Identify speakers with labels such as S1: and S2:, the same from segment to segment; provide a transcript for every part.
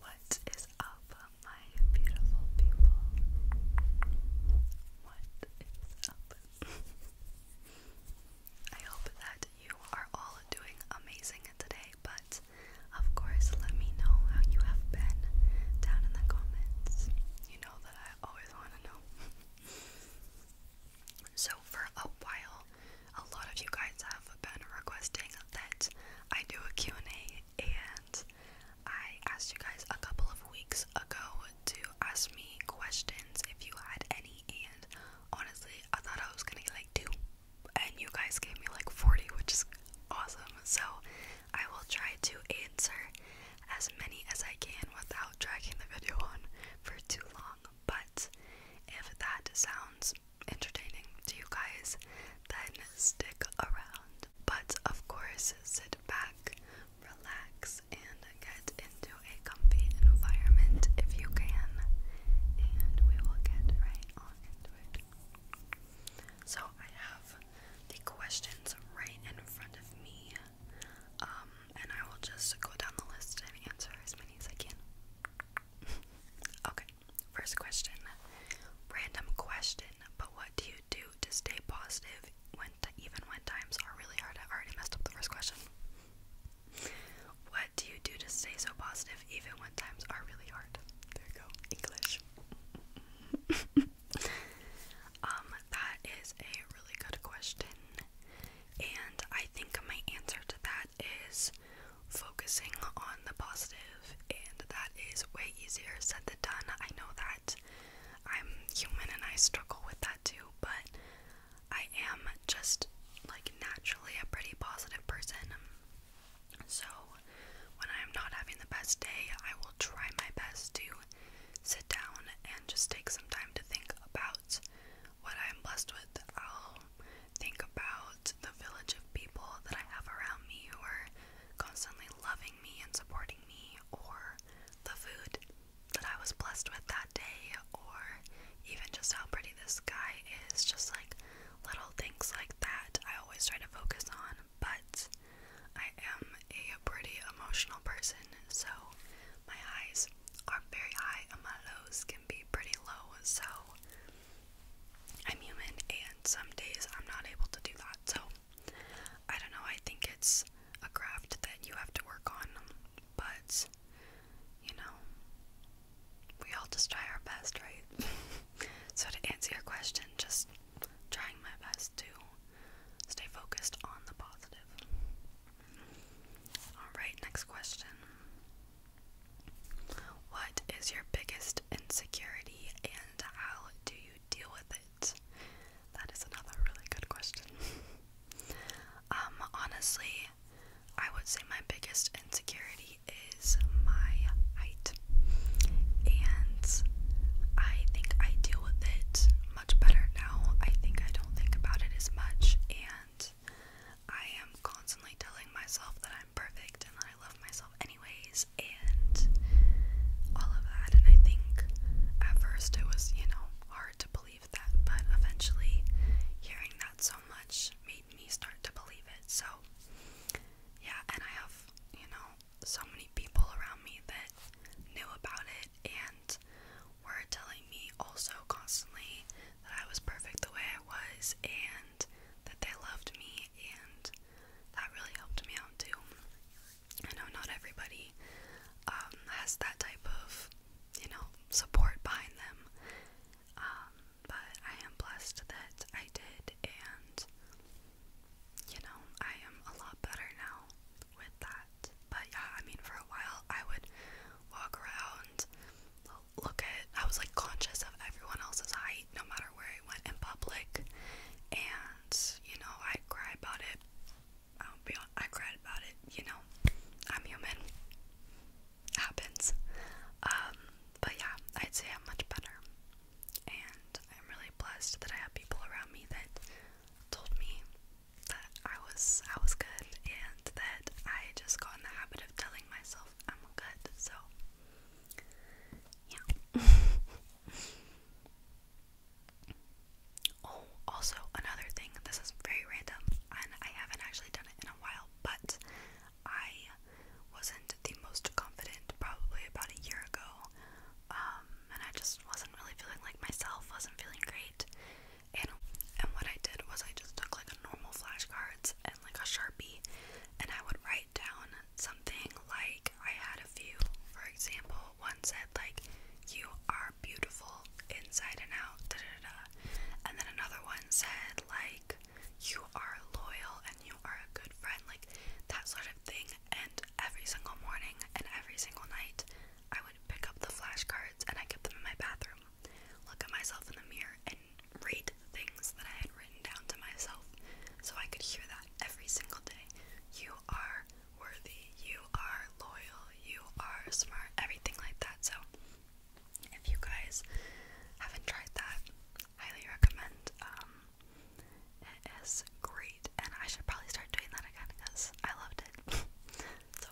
S1: What is up, my beautiful people? What is up? I hope that you are all doing amazing today, but of course, let me know how you have been down in the comments. You know that I always want to know. So, for a while, a lot of you guys have been requesting that I do a Q&A, and I asked you guys a couple of weeks ago to ask me questions if you had any, and honestly, I thought I was gonna get like two, and you guys gave me like 40, which is awesome. So, I will try to answer as many as I can without dragging the video on for too long. But if that sounds entertaining to you guys, then stick around. But of course, sit back, relax, and get into a comfy environment if you can. And we will get right on into it. So, I have the questions right in front of me, um, and I will just go down the list and answer as many as I can okay, first question. Random question, but what do you do to stay positive when even when times are really hard? I already messed up the first question. What do you do to stay so positive even when times are really hard? There you go, English. um, that is a really good question. And I think my answer to that is focusing on the positive, and that is way easier said than done. I know that I'm human and I struggle with that too, but I am just like naturally a pretty positive person. So when I'm not having the best day, I will try my best to sit down and just take some time to think about what I'm blessed with think about the village of people that I have around me who are constantly loving me and supporting me, or the food that I was blessed with that day, or even just how pretty the sky is, just like little things like that I always try to focus on. But I am a pretty emotional person, so my highs are very high and my lows can be pretty low. So I'm human and some days I'm not able to do that. So I don't know, I think it's a craft that you have to work on, but you know, we all just try our best, right? so to answer your question, just trying my best to stay focused on the positive. Alright, next question. What is your biggest insecurity and how do you deal with it? That is another really good question. um, honestly, I would say my biggest insecurity is my height. And I think I deal with it much better now. I think I don't think about it as much and I am constantly telling myself that I'm perfect and that I love myself anyways and all of that and I think at first it was, you know, hard to believe that, but eventually hearing that so much made me start to believe it. So yeah, and I have, you know, so many people around me that knew about it and were telling me also constantly that I was perfect the way I was and that they loved me, and that really helped me out too. I know not everybody um, has that type of, you know, support behind them, um, but I am blessed that I did, and you know, I am a lot better now with that. But yeah, I mean, for a while I would walk around look at I was like conscious of everyone else's height no matter where I went in public and you know I cry about it I'll be on, I cried about it you know I'm human happens um, but yeah I'd say I'm much better and I'm really blessed that I have people around me that told me that I was I was good and that I just got in the habit of telling myself I'm good, so yeah. oh, also another thing, this is very random and I haven't actually done it in a while, but I wasn't the most confident probably about a year ago. Um, and I just wasn't really feeling like myself, wasn't feeling great. And, and what I did was I just took like a normal flashcards and like a sharpie and I would write down something like I had a few. For example, one said like you are beautiful inside and out, da da da. And then another one said like you are loyal and you are a good friend, like that sort of thing. And every single morning and every single night I would pick up the flashcards and I kept them in my bathroom look at myself in the mirror and read the things that I had written down to myself so I could hear that every single day. You are worthy, you are loyal, you are smart, everything like that. So, if you guys haven't tried that, highly recommend. Um, it is great, and I should probably start doing that again because I loved it. so,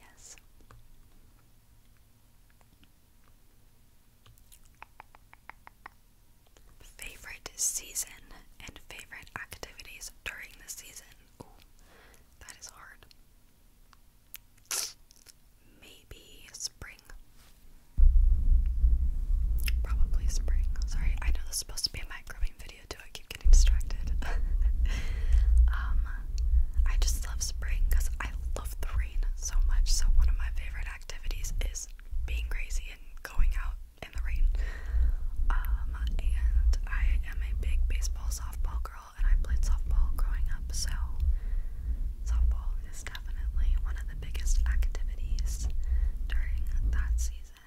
S1: yes. Favorite season and favorite activities during the season. that is hard. Maybe spring. Probably spring. Sorry, I know this is supposed to be a mic grubbing video too. I keep getting distracted. um, I just love spring because I love the rain so much. So, one of my favorite activities is being crazy and going out in the rain. Um, and I am a big baseball, softball girl, and I played softball growing up. So, softball is definitely one of the biggest activities during that season.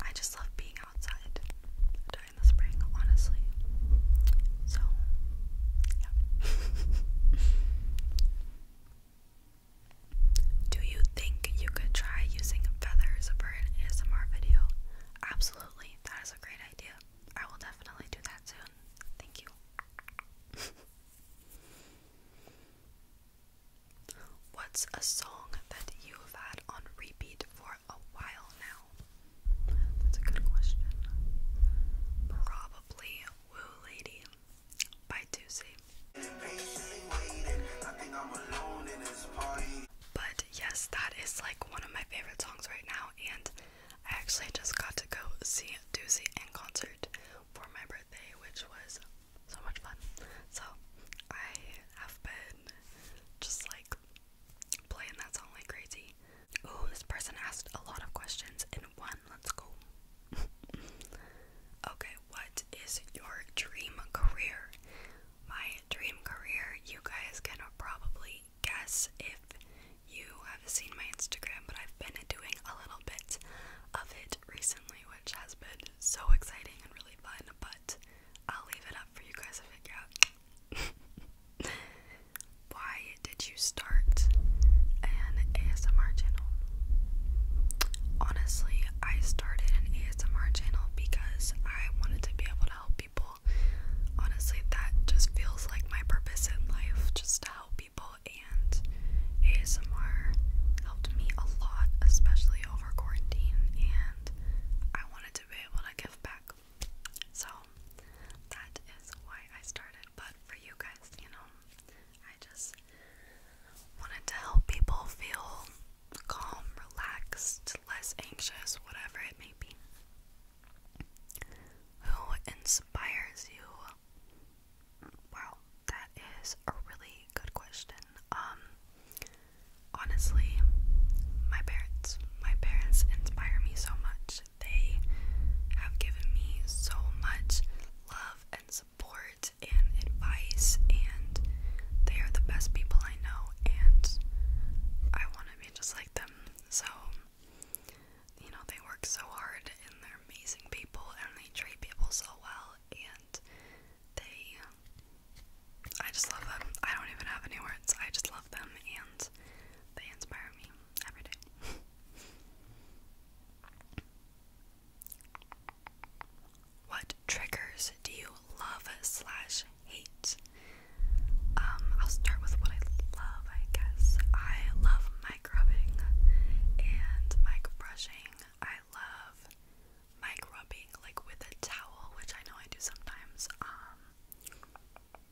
S1: I just love being outside honestly. So, yeah. Do you think you could try using feathers for an ASMR video? Absolutely, that is a great idea. I will definitely do that soon. Thank you. What's a song that you have had on repeat for a while now? That's a good question. Probably Woo Lady by Tusi. But yes, that is like one of my favorite songs right now, and I actually just got to go see Doozy in concert for my birthday, which was so much fun. So I have been just like playing that song like crazy. Oh, this person asked a lot of questions in one. Let's go. okay, what is your dream career? My dream career, you guys can probably guess if you have seen my Instagram, but I've been doing a little bit of it recently, which has been so exciting and really fun, but I'll leave it up for you guys to figure out. Why did you start an ASMR channel? Honestly, I started an ASMR channel because I wanted to be able to help people. Honestly, that just feels like my purpose in life, just to help people. And ASMR helped me a lot, especially over quarantine. And I wanted to be able to give back. So that is why I started. But for you guys, you know, I just wanted to help people feel calm, relaxed, less anxious, whatever it may be. Who inspires you? Wow, that is a really good question. Um honestly, my parents. My parents inspire me so much. They have given me so much love and support and advice, and they are the best people I know, and I want to be just like them. So, you know, they work so hard and they're amazing people, and they treat people so well, and they. I just love them. I don't even have any words. I just love them and they inspire me every day. what triggers do you love slash hate? Um, I'll start with what I love, I guess. I love mic rubbing and mic brushing. I love mic rubbing like with a towel, which I know I do sometimes. Um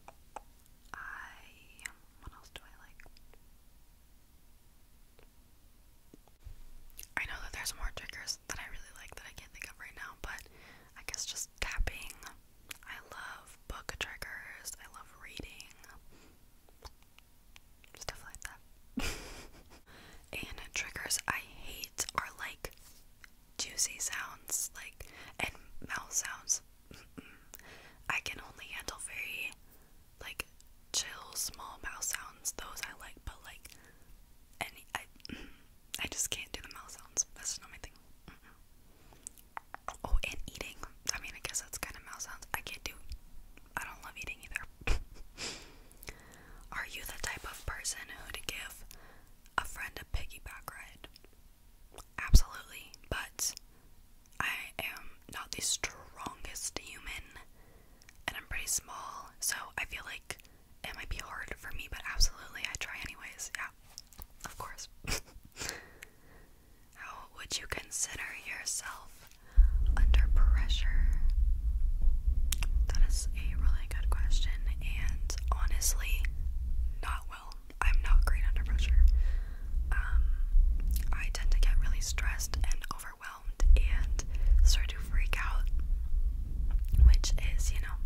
S1: I. What else do I like? I know that there's more triggers that I really like that I can't think of right now, but I guess just tapping. I love book triggers, I love reading, stuff like that. and triggers I hate are like juicy sounds, like, and mouth sounds. I can only handle very, like, chill, small mouth sounds. Those I like, but, like, any, I, I just can't do the mouth sounds. That's not my thing. Oh, and eating. I mean, I guess that's kind of mouth sounds. I can't do, I don't love eating either. Are you the type of person who would give a friend a piggyback ride? Absolutely, but I am not the strongest human and I'm pretty small, so I feel like it might be hard for me, but absolutely, I try anyways. Yeah, of course. How would you consider yourself under pressure? That is a really good question, and honestly, not well. I'm not great under pressure. Um, I tend to get really stressed and overwhelmed and start to freak out, which is, you know,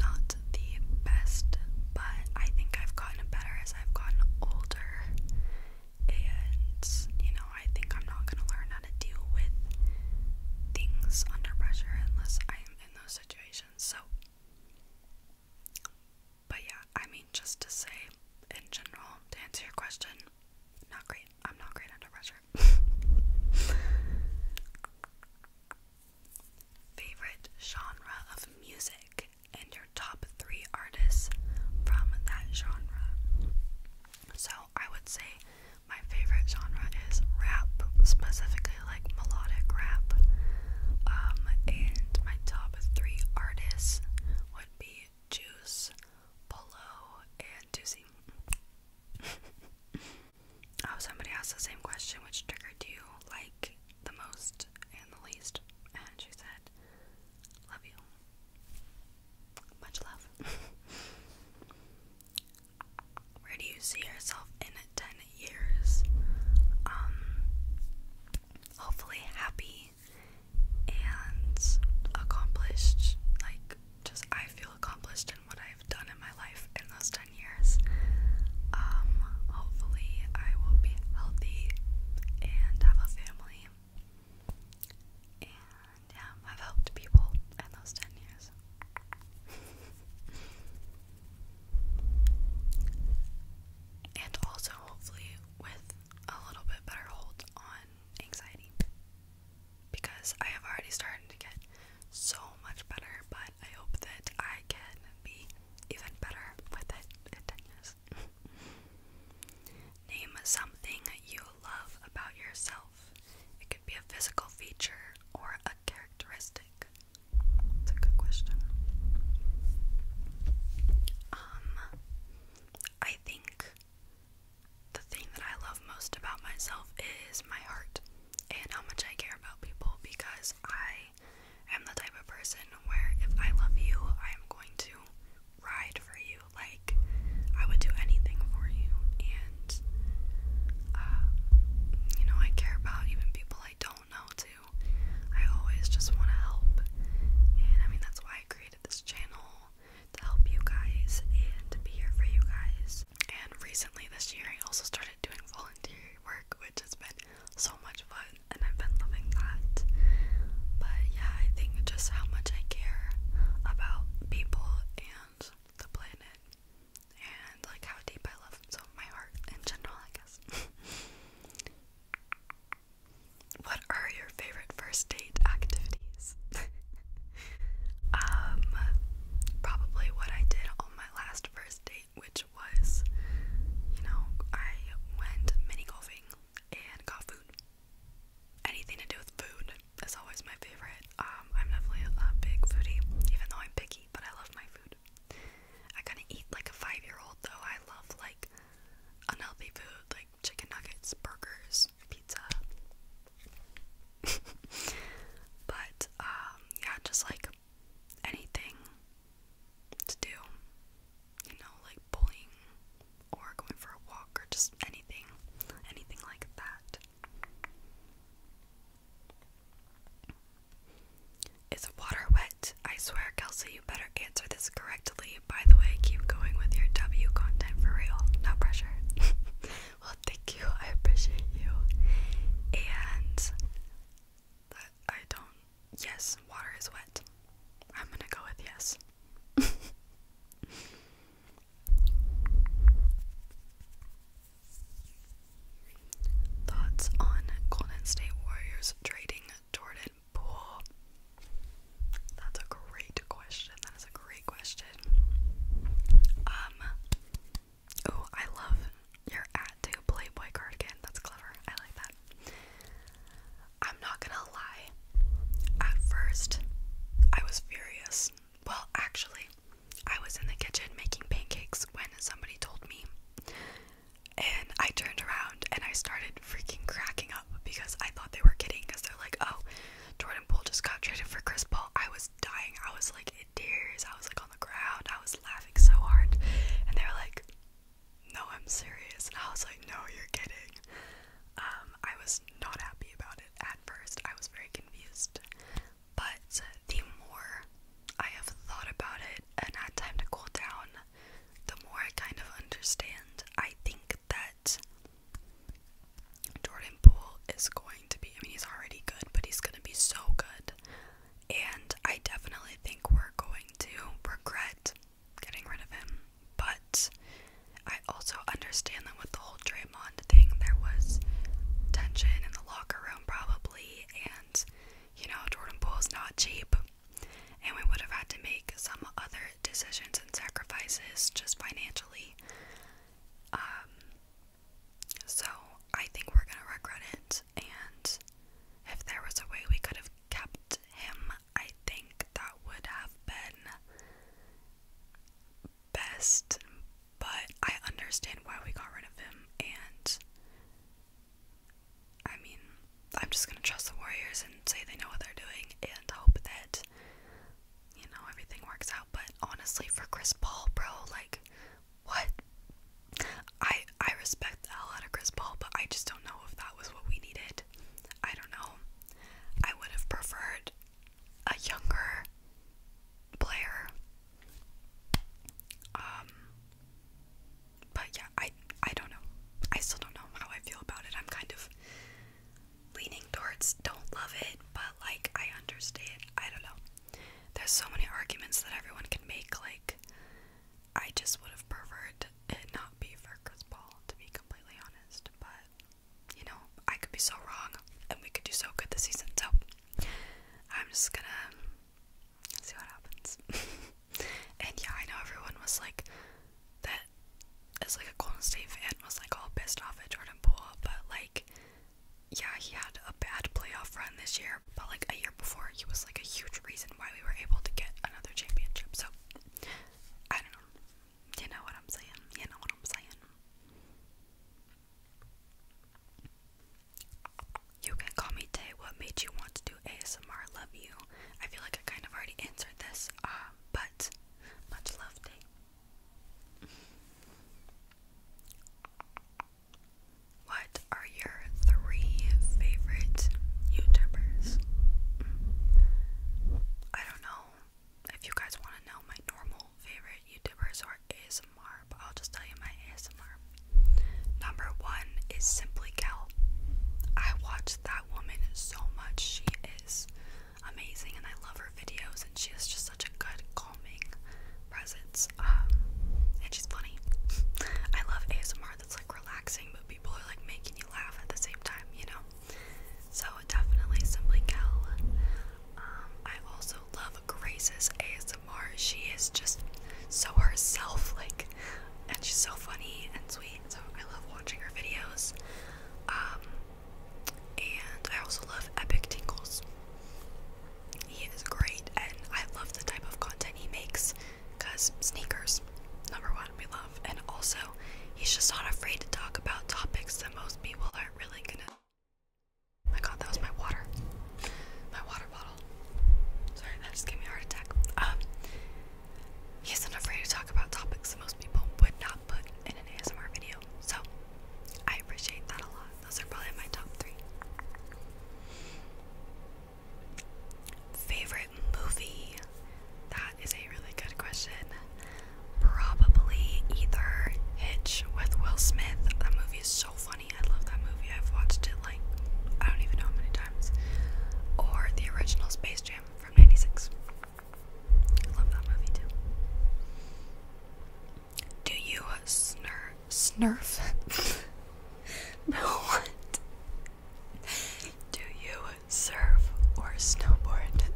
S1: not the best, but I think I've gotten better as I've gotten older. And, you know, I think I'm not going to learn how to deal with things under pressure unless I am in those situations. So, but yeah, I mean, just to say in general, to answer your question, not great. I'm not great under pressure. Favorite genre of music and your top three artists from that genre. So I would say my favorite genre is rap, specifically really like melodic rap. Um, and my top three artists would be Juice, Polo, and Doozy. oh, somebody asked the same question, which trigger do you like the most and the least? And she said, Love you. Much love. Where do you see yourself in 10 years? Um, hopefully happy and accomplished. Like, just I feel accomplished in what I've done in my life in those 10 years. Um, hopefully I will be healthy and have a family. And have helped people in those 10 years. and also hopefully with a little bit better hold on anxiety because I have already started to get so much better, but I hope that I can be even better with it Name something you love about yourself. It could be a physical feature or a characteristic? It's a good question. Um, I think the thing that I love most about myself is my heart and how much I care about people because I am the type of person where if I love you, I am going to ride for you. Like, I would do anything for you. And, uh, you know, I care about even people I don't know to. I always just want to help. And I mean, that's why I created this channel to help you guys and to be here for you guys. And recently this year, I also started doing volunteer work, which has been so much fun, and I've been loving that. But yeah, I think just how much I care about people and the planet and like how deep I love him, so my heart in general, I guess. what are your favorite first date activities? um, probably what I did on my last first date, which was, you know, I went mini golfing and got food. Anything to do with food is always my favorite. Um, I'm definitely a big foodie, even though I'm picky, but I love my food food. I kind of eat like a five year old though. I love like unhealthy food like chicken nuggets, burgers, pizza. but um, yeah, just like anything to do, you know, like bowling or going for a walk or just anything, anything like that. Is water wet? I swear, Kelsey, you better answer this correctly. By the way, keep going with your W content for real. No pressure. well, thank you. I appreciate you. And I don't. Yes, water is wet. I'm gonna go with yes. Thoughts on Golden State Warriors trading Jordan Poole? That's a great question. That is a great question. Um Oh, I love your at to Playboy cardigan. That's clever. I like that. I'm not gonna lie. At first, I was furious. Well, actually, I was in the kitchen making pancakes when somebody told me. And I turned around and I started freaking cracking up because I thought they were kidding because they're like, oh, Jordan Poole just got traded for Chris Paul. I was dying. I was like in tears. I was like on the ground. I was laughing so hard. And they were like, no, I'm serious. And I was like, no, you're kidding. Um, I was not happy about it at first. I was very confused. But the more I have thought about it and had time to cool down, the more I kind of understand. I think that Jordan Poole is going to be, I mean, he's already good, but he's going to be so good. And I definitely think we're going to regret getting rid of him. But I also understand that with the whole Draymond thing, there was tension in the locker room, probably, and you know, Jordan Poole's not cheap. And we would have had to make some other decisions and sacrifices just financially. Um, so I think we're gonna regret it. And if there was a way we could have kept him, I think that would have been best but I understand why we got rid of him, and I mean, I'm just gonna trust the Warriors and say they know what they're doing and hope that, you know, everything works out. But honestly, for Chris Paul, bro, like, what? I I respect the hell out of Chris Paul, but I just don't know if that was what we needed. I don't know. I would have preferred a younger player um but yeah, I I don't know. I still don't know how I feel about it. I'm kind of leaning towards don't love it, but like I understand. I don't know. There's so many arguments that everyone can make like I just would have preferred it not be for Chris Paul to be completely honest, but you know, I could be so wrong and we could do so good this season. So I'm just gonna see what happens. and yeah, I know everyone was like that as like a Golden State fan was like all pissed off at Jordan Poole, but like yeah, he had a bad playoff run this year, but like a year before he was like a huge reason why we were able to get another championship. So I don't know. You know what I'm saying? You know what I'm saying? You can call me Tay. What made you want to do ASMR? Love you. I feel like I kind of already answered this, uh, but much love, Tay. What are your three favorite YouTubers? I don't know if you guys want to know my normal favorite YouTubers or ASMR ASMR, but I'll just tell you my ASMR. Number one is Simply Cal. I watch that woman so much. She is amazing and I love her videos and she has just such a good calming presence. Um, and she's funny. I love ASMR that's like relaxing but people are like making you laugh at the same time, you know? So definitely Simply Cal. Um, I also love Grace's ASMR. She is just so herself, like, and she's so funny and sweet. So I love watching her videos. Um, and I also love Epic Tingles. He is great, and I love the type of content he makes because sneakers, number one, we love. And also, he's just not afraid to talk about topics that most people aren't really gonna my god, that was my water. My water bottle. Sorry, that just gave me a heart attack. Um, he isn't afraid to talk about topics most people would not put in an ASMR video. So, I appreciate that a lot. Those are probably my top three. Favorite movie? That is a really good question. Probably either Hitch with Will Smith. That movie is so funny. I love that movie. I've watched it like I don't even know how many times. Or the original Space Jam from '96. I love that movie too. Do you snur snurf? no Do you surf or snowboard?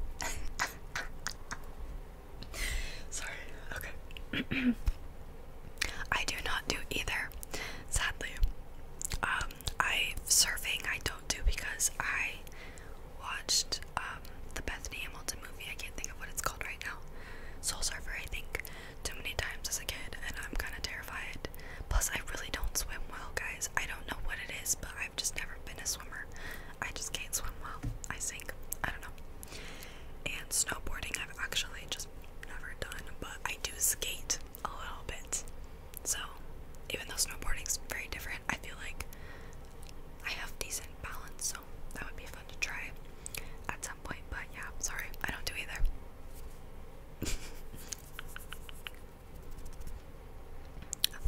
S1: Sorry. Okay. I do not do either, sadly. Um, I surfing I don't do because I watched um, the Bethany Hamilton movie. I can't think of what it's called right now. Soul Surfer, I think, too many times as a kid, and I'm kind of terrified. Plus, I really don't swim well, guys. I don't know what it is, but I've just never been a swimmer. I just can't swim well. I sink. I don't know. And snowboarding, I've actually just never done, but I do skate a little bit. So, even though snowboarding's very different, I feel like I have decent balance, so that would be fun to try at some point. But yeah, sorry, I don't do either.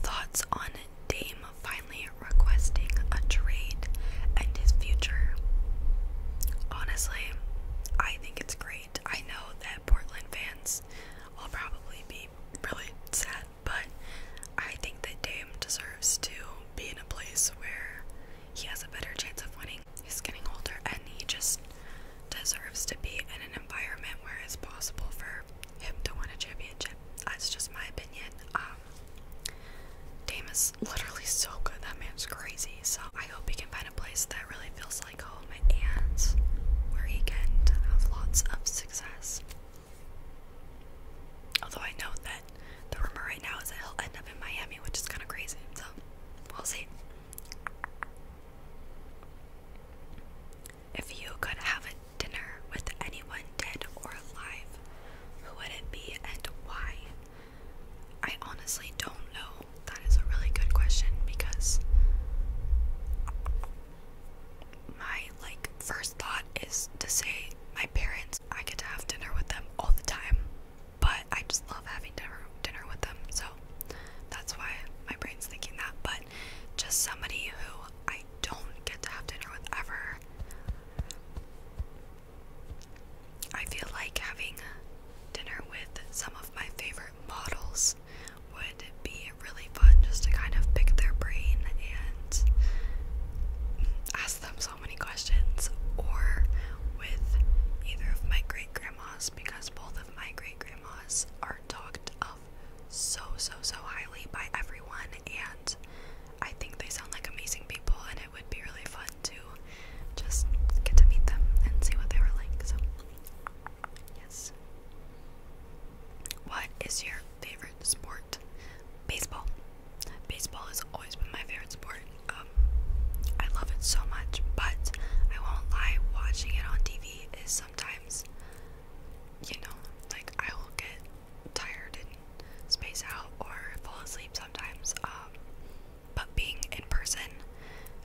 S1: Thoughts on Dame finally requesting a trade and his future? honestly, I think it's great. I know that Portland fans will probably be really sad, but I think that Dame deserves to be in a place where he has a better chance of winning. He's getting older and he just deserves to be in an environment where it's possible for him to win a championship. That's just my opinion. Um, Dame is literally so good. That man's crazy. So I hope he can find a place that really feels like home and where he can have lots of success. Although I know that the rumor right now is that he'll end up in Miami, which is kind of crazy. So we'll see. If you could have a dinner with anyone dead or alive, who would it be and why? I honestly don't know. That is a really good question because my like first thought is to say my parents. I get to have dinner with them all the time, but I just love having dinner dinner with them. So that's why my brain's thinking that. But just somebody who I don't get to have dinner with ever. I feel like having dinner with some of my favorite models would be really fun just to kind of pick their brain and ask them so many questions, or with either of my great grandmas, because both of my great grandmas are talked of so so so highly by everyone, and I think they sound like amazing people it would be really fun to just get to meet them and see what they were like. So, yes. What is your favorite sport? Baseball. Baseball has always been my favorite sport. Um, I love it so much, but I won't lie, watching it on TV is sometimes, you know, like I will get tired and space out or fall asleep sometimes. Um, but being in person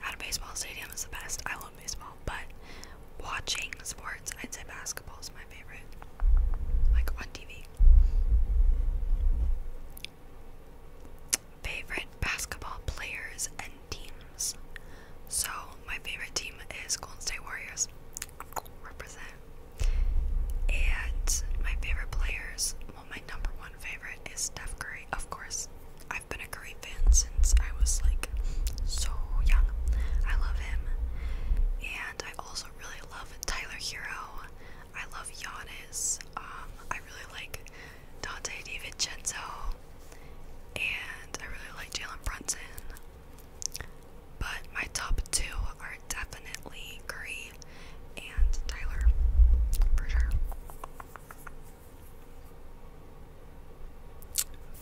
S1: at a baseball stadium is the best. I love baseball, but watching sports, I'd say basketball is my favorite, like on TV. Favorite basketball players and teams. So, my favorite team is Golden State Warriors. Represent. And my favorite players, my number one favorite is Steph Curry, of course. I've been a Curry fan since I was like so young. I love him. And I also really love Tyler Hero. I love Giannis. Um, I really like Dante DiVincenzo. And I really like Jalen Brunson. But my top two are definitely Curry and Tyler for sure.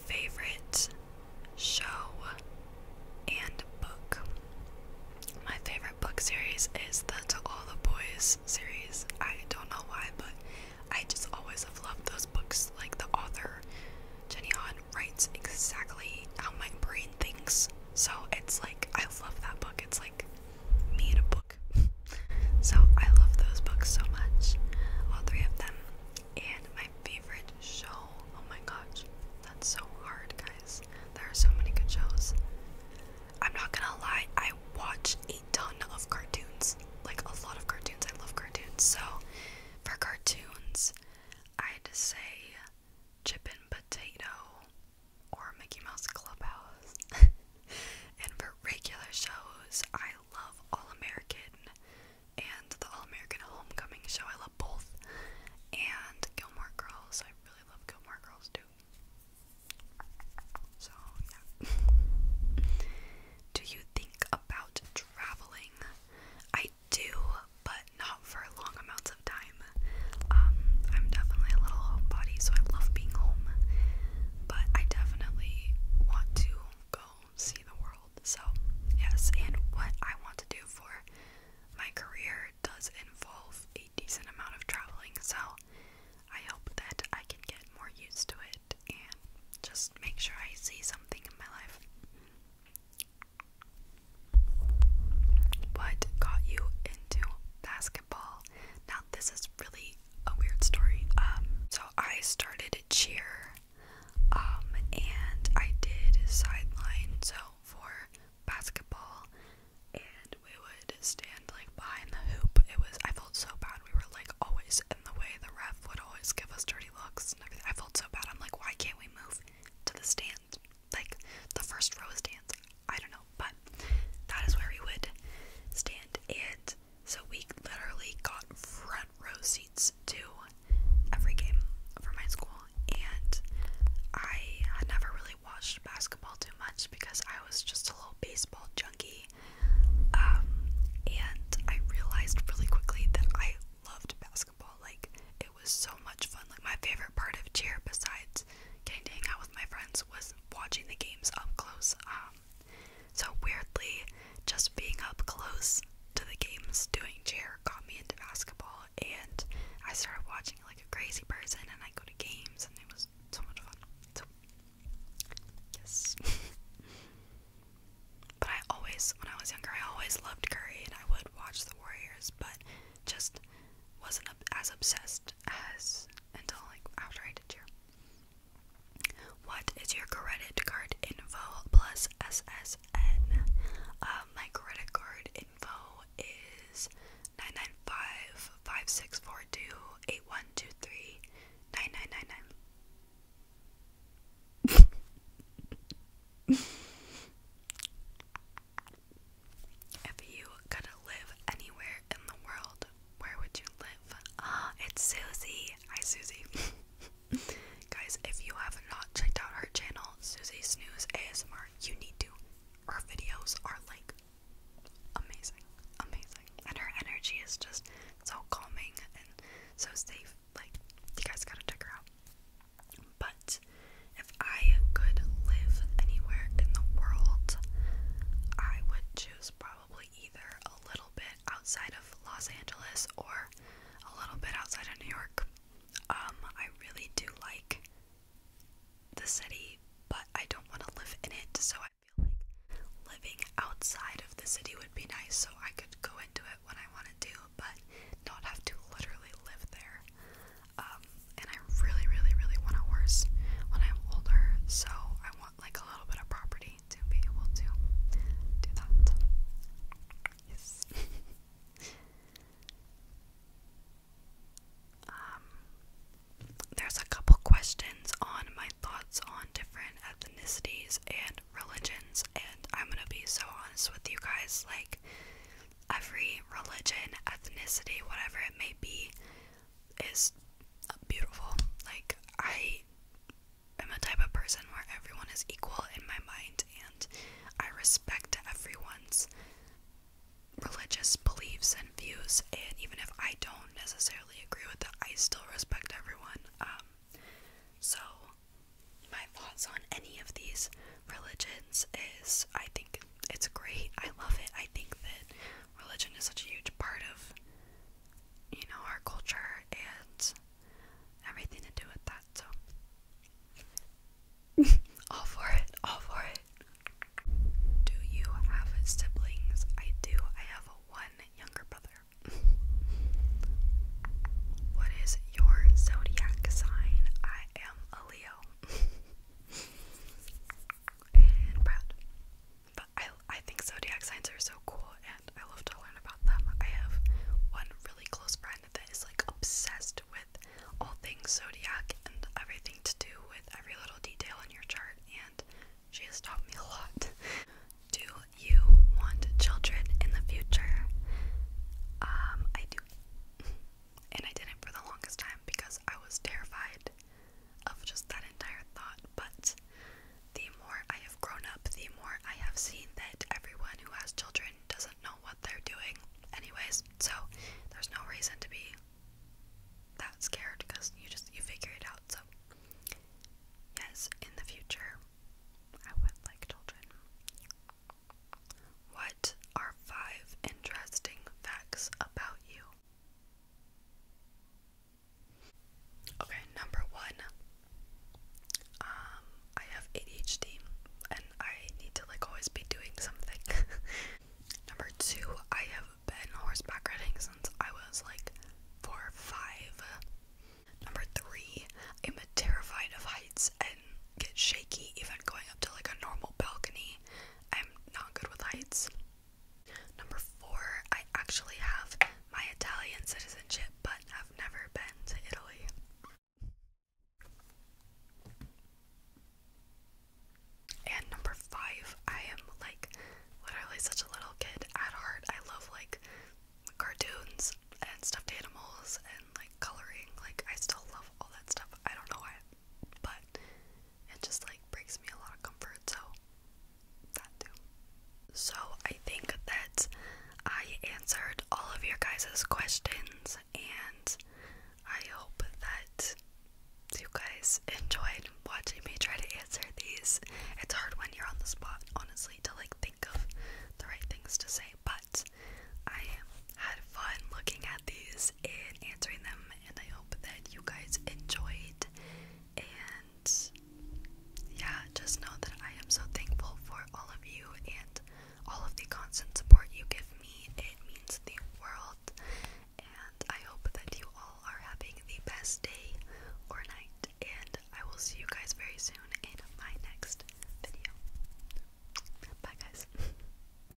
S1: Favorite show and book. My favorite book series is the To All the Boys series. I don't know why, but I just always have loved those books. Like the author, Jenny Han, writes exactly how my brain thinks. So it's like, I love that book. It's like me a book. so I love those books so much. All three of them. And my favorite show. Oh my gosh. That's so hard, guys. There are so many good shows. I'm not gonna lie, I watch a ton of cartoons. Like a lot of cartoons. I love cartoons. So for cartoons, I'd say Chip and Potato or Mickey Mouse Clubhouse. and for regular shows, I love All American and the All American Homecoming show. I love both. And Gilmore Girls. I really love Gilmore Girls too. So, yeah. do you think about traveling? I do, but not for long amounts of time. Um, I'm definitely a little homebody, so I love being home, but I definitely want to go see the world. So, yes, and what I want to do for my career does involve a decent amount of traveling, so I hope that I can get more used to it and just make sure I see something in my life. What got you into basketball. Now, this is really a weird story. Um, so I started cheer, um, and I did sideline, so for basketball, and we would stand like behind the hoop. It was, I felt so bad. We were like always in the way. The ref would always give us dirty looks and everything. I felt so bad. I'm like, why can't we move to the stand? like the first row stands. I don't know, but that is where we would stand. And so we literally got front row seats to every game for my school. And I had never really watched basketball too much because I was just a little baseball junkie. Um, and I realized really quickly that I loved basketball. Like, it was so much fun. Like, my favorite part of cheer, besides getting to hang out with my friends was watching the games up close. Um, so weirdly, just being up close to the games, doing chair got me into basketball, and I started watching like a crazy person, and I go to games, and it was so much fun. So, yes. but I always, when I was younger, I always loved Curry, and I would watch the Warriors, but just wasn't as obsessed as until like after I did cheer. What is your credit card info plus SSN? Uh, my credit card info is 995 If you could live anywhere in the world, where would you live? Ah, it's Susie. Hi, Susie. Guys, if you have not checked out her channel, Susie Snooze ASMR, you need to. Her videos are like amazing, amazing, and her energy is just so calming and so safe. Like, you guys gotta check her out. But if I could live anywhere in the world, I would choose probably either a little bit outside of Los Angeles or a little bit outside of New York. Um, I really do like the city, but I don't want to live in it, so I feel like living outside of the city would be nice so I could go into it when I want to do, but not have to literally live there. Um, and I really, really, really want a horse when I'm older, so I want like a little bit of property to be able to do that. Yes. um, there's a couple questions on my thoughts on different ethnicities and religions, and I'm gonna be so honest with you guys. Like, every religion, ethnicity, whatever it may be, is beautiful. Like, I am a type of person where everyone is equal in my mind, and I respect everyone's religious beliefs and views. And even if I don't necessarily agree with it, I still respect everyone. Um, so, my thoughts on any of these religions is I think it's great. I love it. I think that religion is such a huge part of you know our culture and everything to do with that. So all for it. All for it. Do you have siblings? I do. I have one younger brother. what is your zodiac sign? I am a Leo. and proud. But I I think zodiac signs are so cool, and I love to learn about them. I have one really close friend that is like obsessed with all things zodiac and everything to do with every little detail in your chart, and she has taught me a lot. Do you want children in the future? Um, I do. And I didn't for the longest time because I was terrified of just that entire thought. But the more I have grown up, the more I have seen that everyone who has children doesn't know what they're doing, anyways. So there's no reason to be that scared because you just you figure it out. So yes, in the future, I would like children. What are five interesting facts about you? Okay, number one. Um, I have ADHD and I need to like always be doing something. number two, I have been horseback riding since I was like four five. Number three, I'm terrified of heights and get shaky even going up to like a normal balcony. I'm not good with heights. Number four, I actually have my Italian citizenship, but i have never been to Italy. And number five, I am like literally such a little kid at heart. I love like cartoons and stuffed animals and like coloring. Like, I still love all that stuff. I don't know why, but it just like brings me a lot of comfort. So that too. So I think that I answered all of your guys's questions and I hope that you guys enjoyed watching me try to answer these. It's hard when you're on the spot, honestly, to like think of the right things to say, but I had fun looking at these guys in answering them, and I hope that you guys enjoyed. And yeah, just know that I am so thankful for all of you and all of the constant support you give me. It means the world, and I hope that you all are having the best day or night. And I will see you guys very soon in my next video. Bye, guys.